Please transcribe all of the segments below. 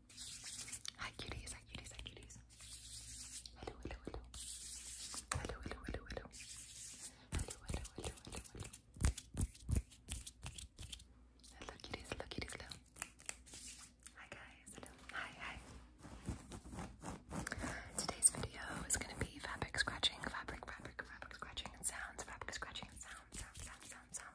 Hi cuties, hi cuties, hi cuties. Hello, hello, hello. Hello, hello, hello, hello. Hello, hello, hello, hello, cuties, hello cuties, hello. Hi guys, hello. Hi, hi. Today's video is going to be fabric scratching, fabric, fabric, fabric scratching and sounds, fabric scratching and sounds, sounds, sounds, sounds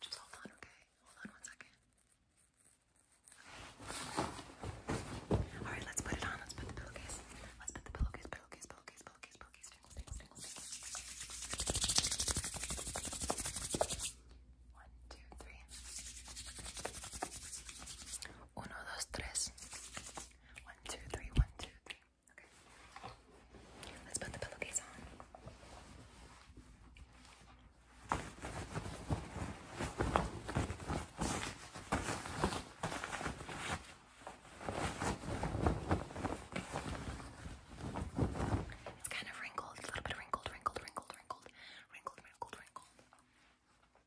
Just hold on, okay? Hold on one second. Alright, let's put it on. Let's put the pillowcase. Let's put the pillowcase, pillowcase, pillowcase, pillowcase, pillowcase, tingles, One, two, three. 1, 2, 3. 3, Okay. Let's put the pillowcase on. It's kind of wrinkled, a little bit wrinkled, wrinkled, wrinkled, wrinkled, wrinkled, wrinkled, wrinkled.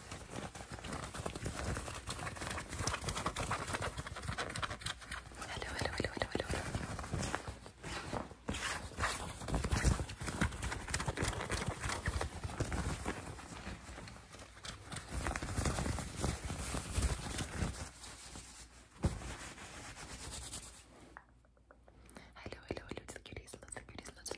Hello, hello, hello, hello, hello. Hello, hello, hello, the cuties, lots of cuties, lots of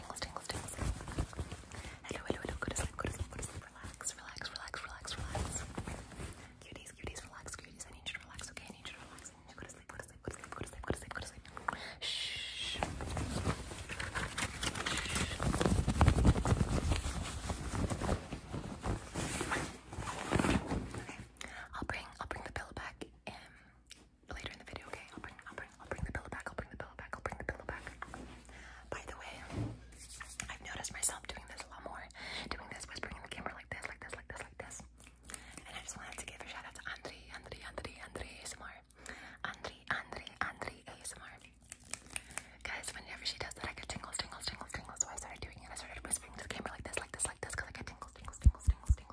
Hello, hello, hello. Go to sleep, go to sleep, go to sleep. Relax, relax, relax, relax, relax. Cuties, cuties, relax, cuties. I need you to relax, okay? I need you to relax. go to sleep, go to sleep, go to sleep, go to sleep, go to sleep, go to sleep. Shh. Okay. I'll bring I'll bring the pillow back um, later in the video, okay? I'll bring, I'll bring, I'll bring the pillow back. I'll bring the pillow back. I'll bring the pillow back. By the way, I've noticed myself doing this a lot more, doing this, whispering in the camera like this, like this, like this, like this. And I just wanted to give a shout out to Andri, Andri, Andri, Andri ASMR, Andri, Andri, Andri ASMR. Guys, whenever she does that, I get tingles, tingles, tingles, tingles. So I started doing it. I started whispering to the camera like this, like this, like this, because I get tingles, tingles, tingles, tingles, tingles.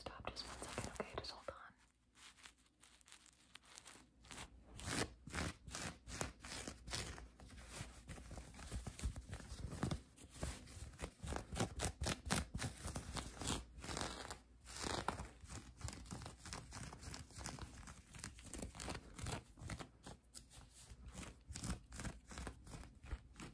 Stop just one second, okay? Just hold on.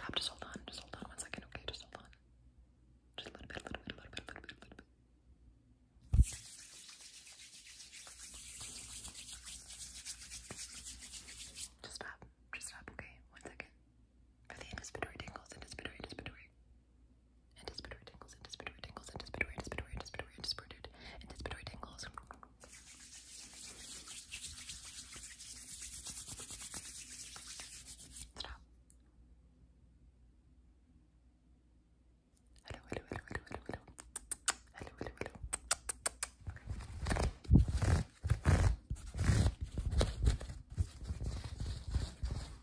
Stop, just hold on, just hold on one second, okay? Just hold on. Just a little bit, a little bit, a little bit, a little bit, a little bit. Just stop, just stop, okay? One second. For the anticipatory tingles, anticipatory, anticipatory. Anticipatory tingles, anticipatory tingles, anticipatory, anticipatory, anticipatory, anticipatory, anticipatory tingles. Stop. Hello, hello, hello, hello, hello, hello. Hello, hello, hello. Okay.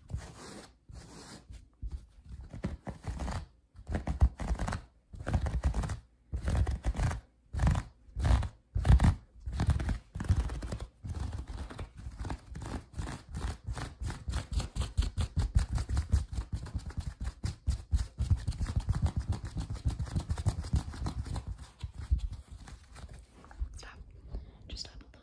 Stop. Just stop. Hold on.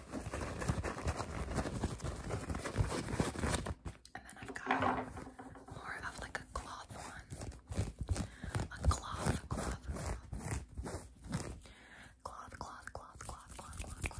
And then i got more of like a cloth one. A Cloth, cloth, cloth, cloth, cloth, cloth, cloth, cloth.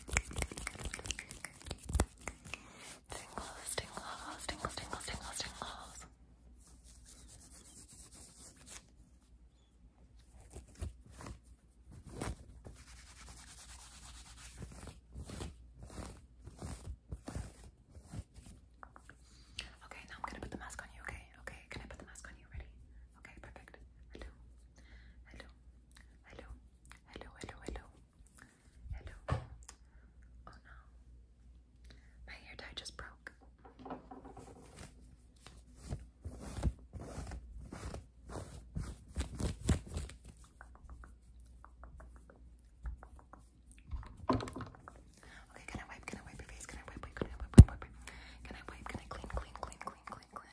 Tingles, tingles, tingles, tingles, tingles, tingles. Okay, now I'm gonna put the mask on you, okay? Okay, can I put the mask on you? Ready? Okay, perfect. Hello. Hello. Hello. Hello, hello, hello. Hello. Oh no. My hair tie just broke. Okay, can I wipe? Can I wipe your face? Can I wipe? Can I wipe? Can I wipe? Can I clean? Clean? Clean? Clean? Clean? Clean?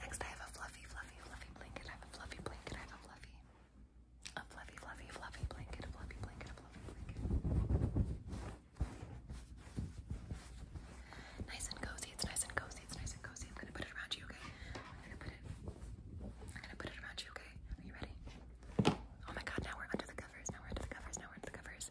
Next, I have a fluffy, fluffy, fluffy blanket. I have a fluffy blanket. I have a fluffy, a fluffy, fluffy, fluffy blanket. fluffy blanket. fluffy blanket. Nice and cozy. It's nice and cozy. It's nice and cozy. I'm gonna put it around you, okay? I'm gonna put it. I'm gonna put it around you, okay? Are you ready? Oh my God! Now we're under the covers. Now we're under the covers. Now we're under the covers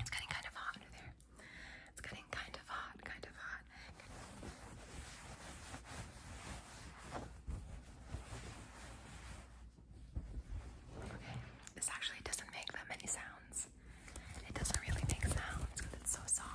it's getting kind of hot under there. It's getting kind of hot, kind of hot this actually doesn't make that many sounds. It doesn't really make sounds because it's so soft.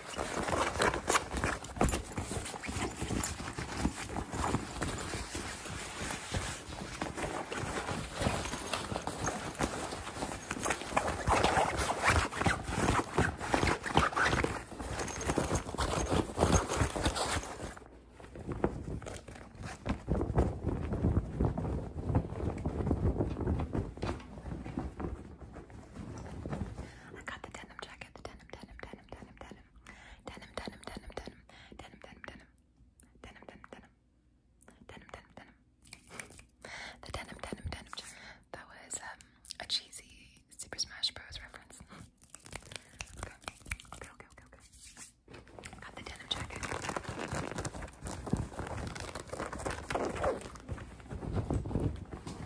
I got the denim jacket, the denim, denim, denim, denim, denim, denim, denim, denim, denim, denim, denim, denim, denim, The denim, denim, denim. That was a cheesy Super Smash Bros reference. okay, okay, okay, okay. Got the denim jacket.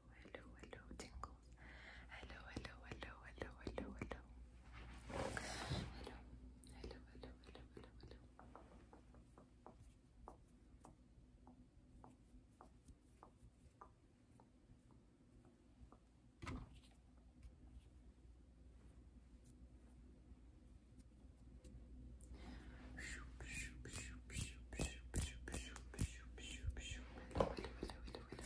hello, hello, tingles. Hello, hello, hello, hello, hello, hello. Hello, hello, hello, hello, hello, hello. Hello, hello, hello, hello,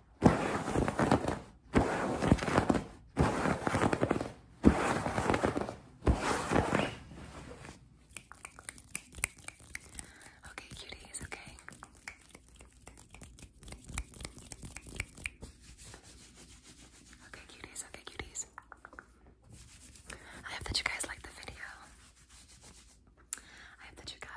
Okay, cuties, okay. Okay, cuties, okay, cuties. I hope that you guys like the video. I hope that you guys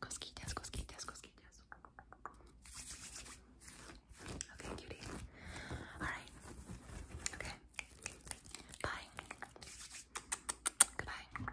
cosquillas, cosquillas, Okay, cutie. All right. Okay. Bye. Goodbye.